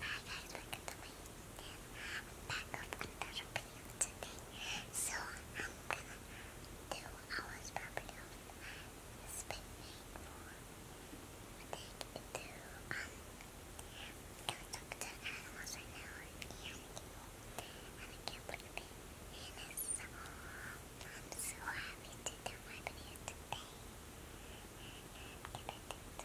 Hi guys, welcome to my YouTube. I'm back with another video today. So I'm gonna do hours probably of spinning for take two. Um, I'm gonna talk animals right now and people. And I can't believe it. And it's I'm so happy to do my video today. And get it.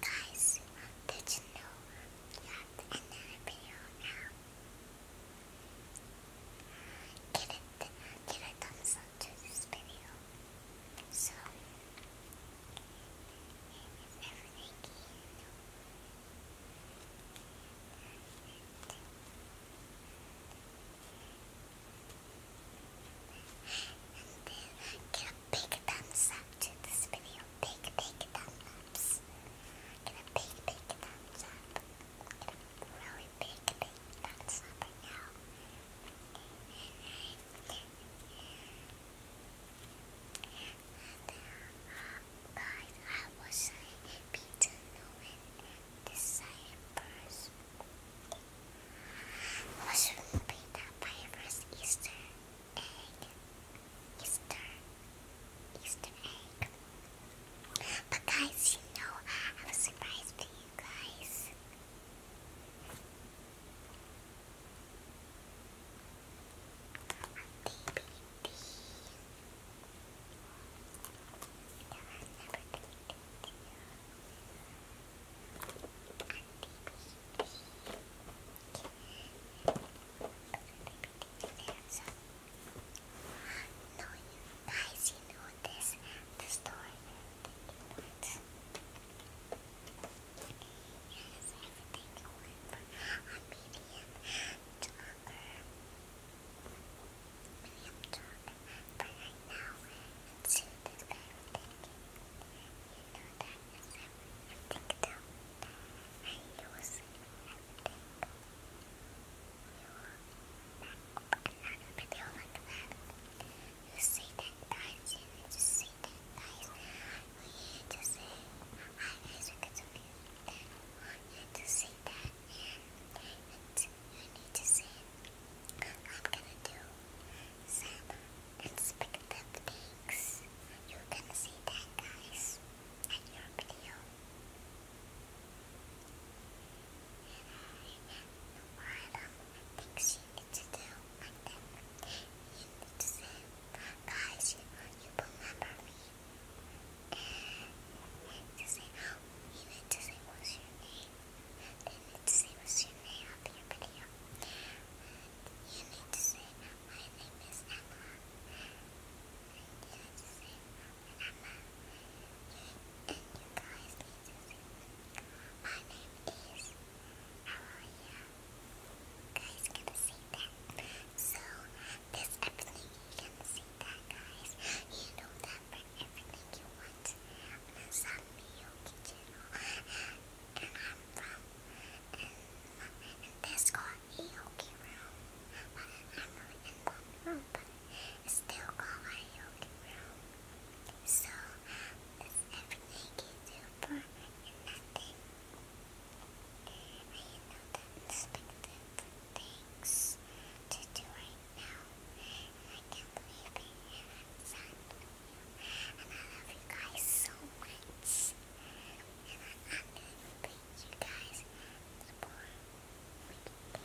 Guys, did you know you have another video now? Give it, give a thumbs up to this video. So, everything And then, big thumbs up to this video. Big, big thumbs ups. Give a big, big thumbs up. Give a really big, big thumbs up right now. And, uh, guys, I was saying Peter Nolan, this side first. Mushroom pizza by first Easter egg, Easter, Easter egg. But guys, you know, I have a surprise for you guys. A so, you guys you know this the story that you want. Yes, everything you want from a medium talker. Medium talker. But right now, and soon this guy You know that is think that I use everything. You will not another video like that. You say that guys, you say that guys. You just say, hi guys, welcome to me. You need to say that you need to say, I'm gonna do some unexpected things. You can see that, guys, at your video. And I have no things you need to do, and need to say, guys, you, you remember me. And you say, oh, you need to say what's your name. They need to say what's your name of your video. You need to say guys gonna see that. So this everything you can see that guys. You know that for everything you want. on me, Yogi channel. And I'm from and this got a Yogi room, but I'm not in one room, but it's still called a Yogi room. So everything you do for nothing. I know things to do right now, I can't believe it. And I love you guys so much. And I, am gonna thank you guys the more we can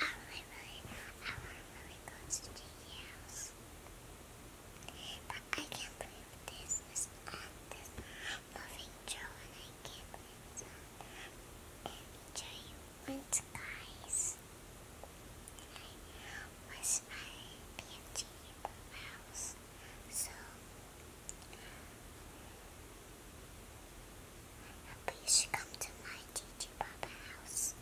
I really, want really close to house. But I can't believe this on this loving Joe and I can't believe it's on enjoy you once guys. And I was my PFG house. So please come to my Gigi house.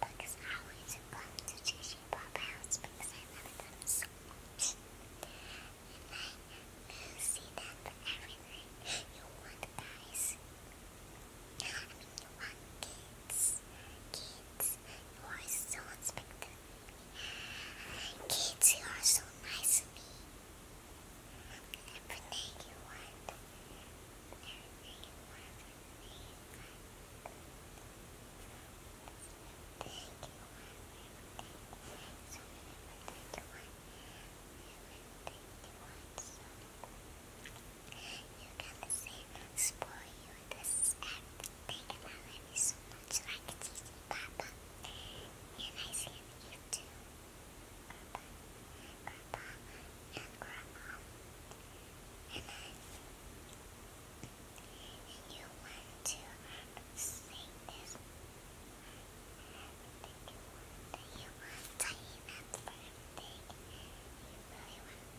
Because I always come to Gigi house because I love them so much. And I see them everywhere. You want guys. I you want kids kids, you are so unexpected. Kids, you are so nice to me. Everything you want. Everything you want. Everything you want. Everything you want. So everything you want. Everything you want. So everything you want. You can say, spoil you, this is everything, I love you so much, like Gigi Papa. And I love you too, Grandpa, Grandpa, and Grandma. And I, and you want to sing this. I think you want, to eat that birthday. You really want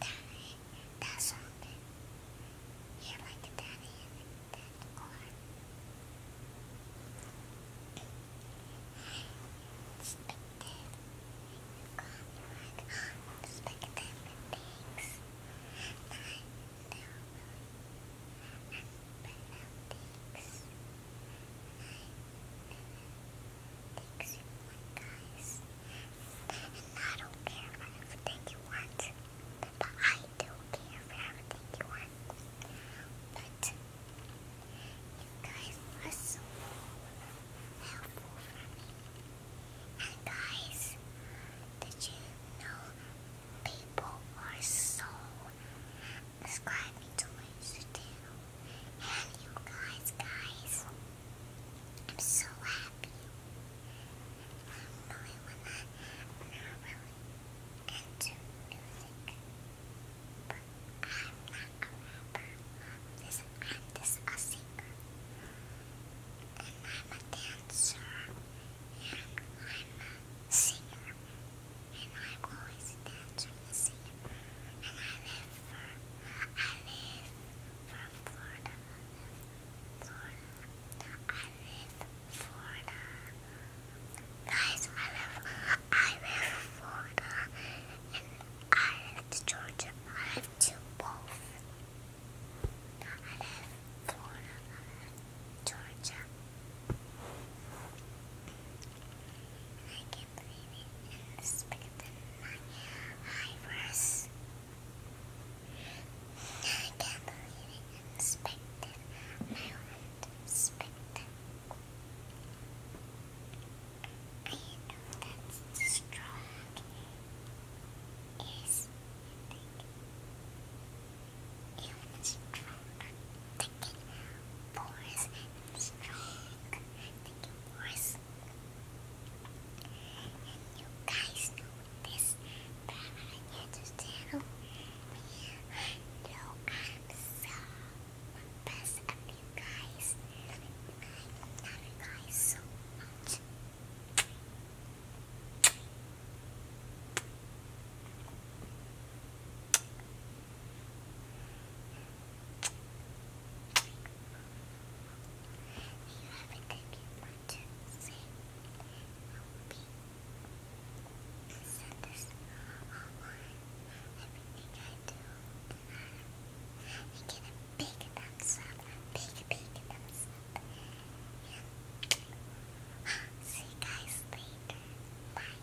Danny, that something. Yeah, like Danny and that corn. Spectator. God, like, spectator things. I know. And below things. Makes you look nice. And I don't care for everything you want. But I do care for everything you want. But you guys are so helpful for me. And guys, did you know people are so subscribing to my stories guys, guys, I'm so happy. I'm really when I, I'm really into music, but I'm not a rapper. Listen, I'm just a singer, and I'm a dancer, and I'm a singer, and i am always dancing with a singer. Guys, I live, I live Florida, and I live Georgia. I live to both. I live Florida, I live Georgia. I can believe it and respect my eyebrows. I can't believe it and respect it. I want respect. I know that's strong. Yes, strong. Thinking porous and strong. Thinking was. you guys know this, but I need to tell me I'm so best of you guys. I love you guys so much. You have a cookie, one, two, three. I send this online. Everything I do, I get a big thumbs up, big, big thumbs up. See you guys later. Bye.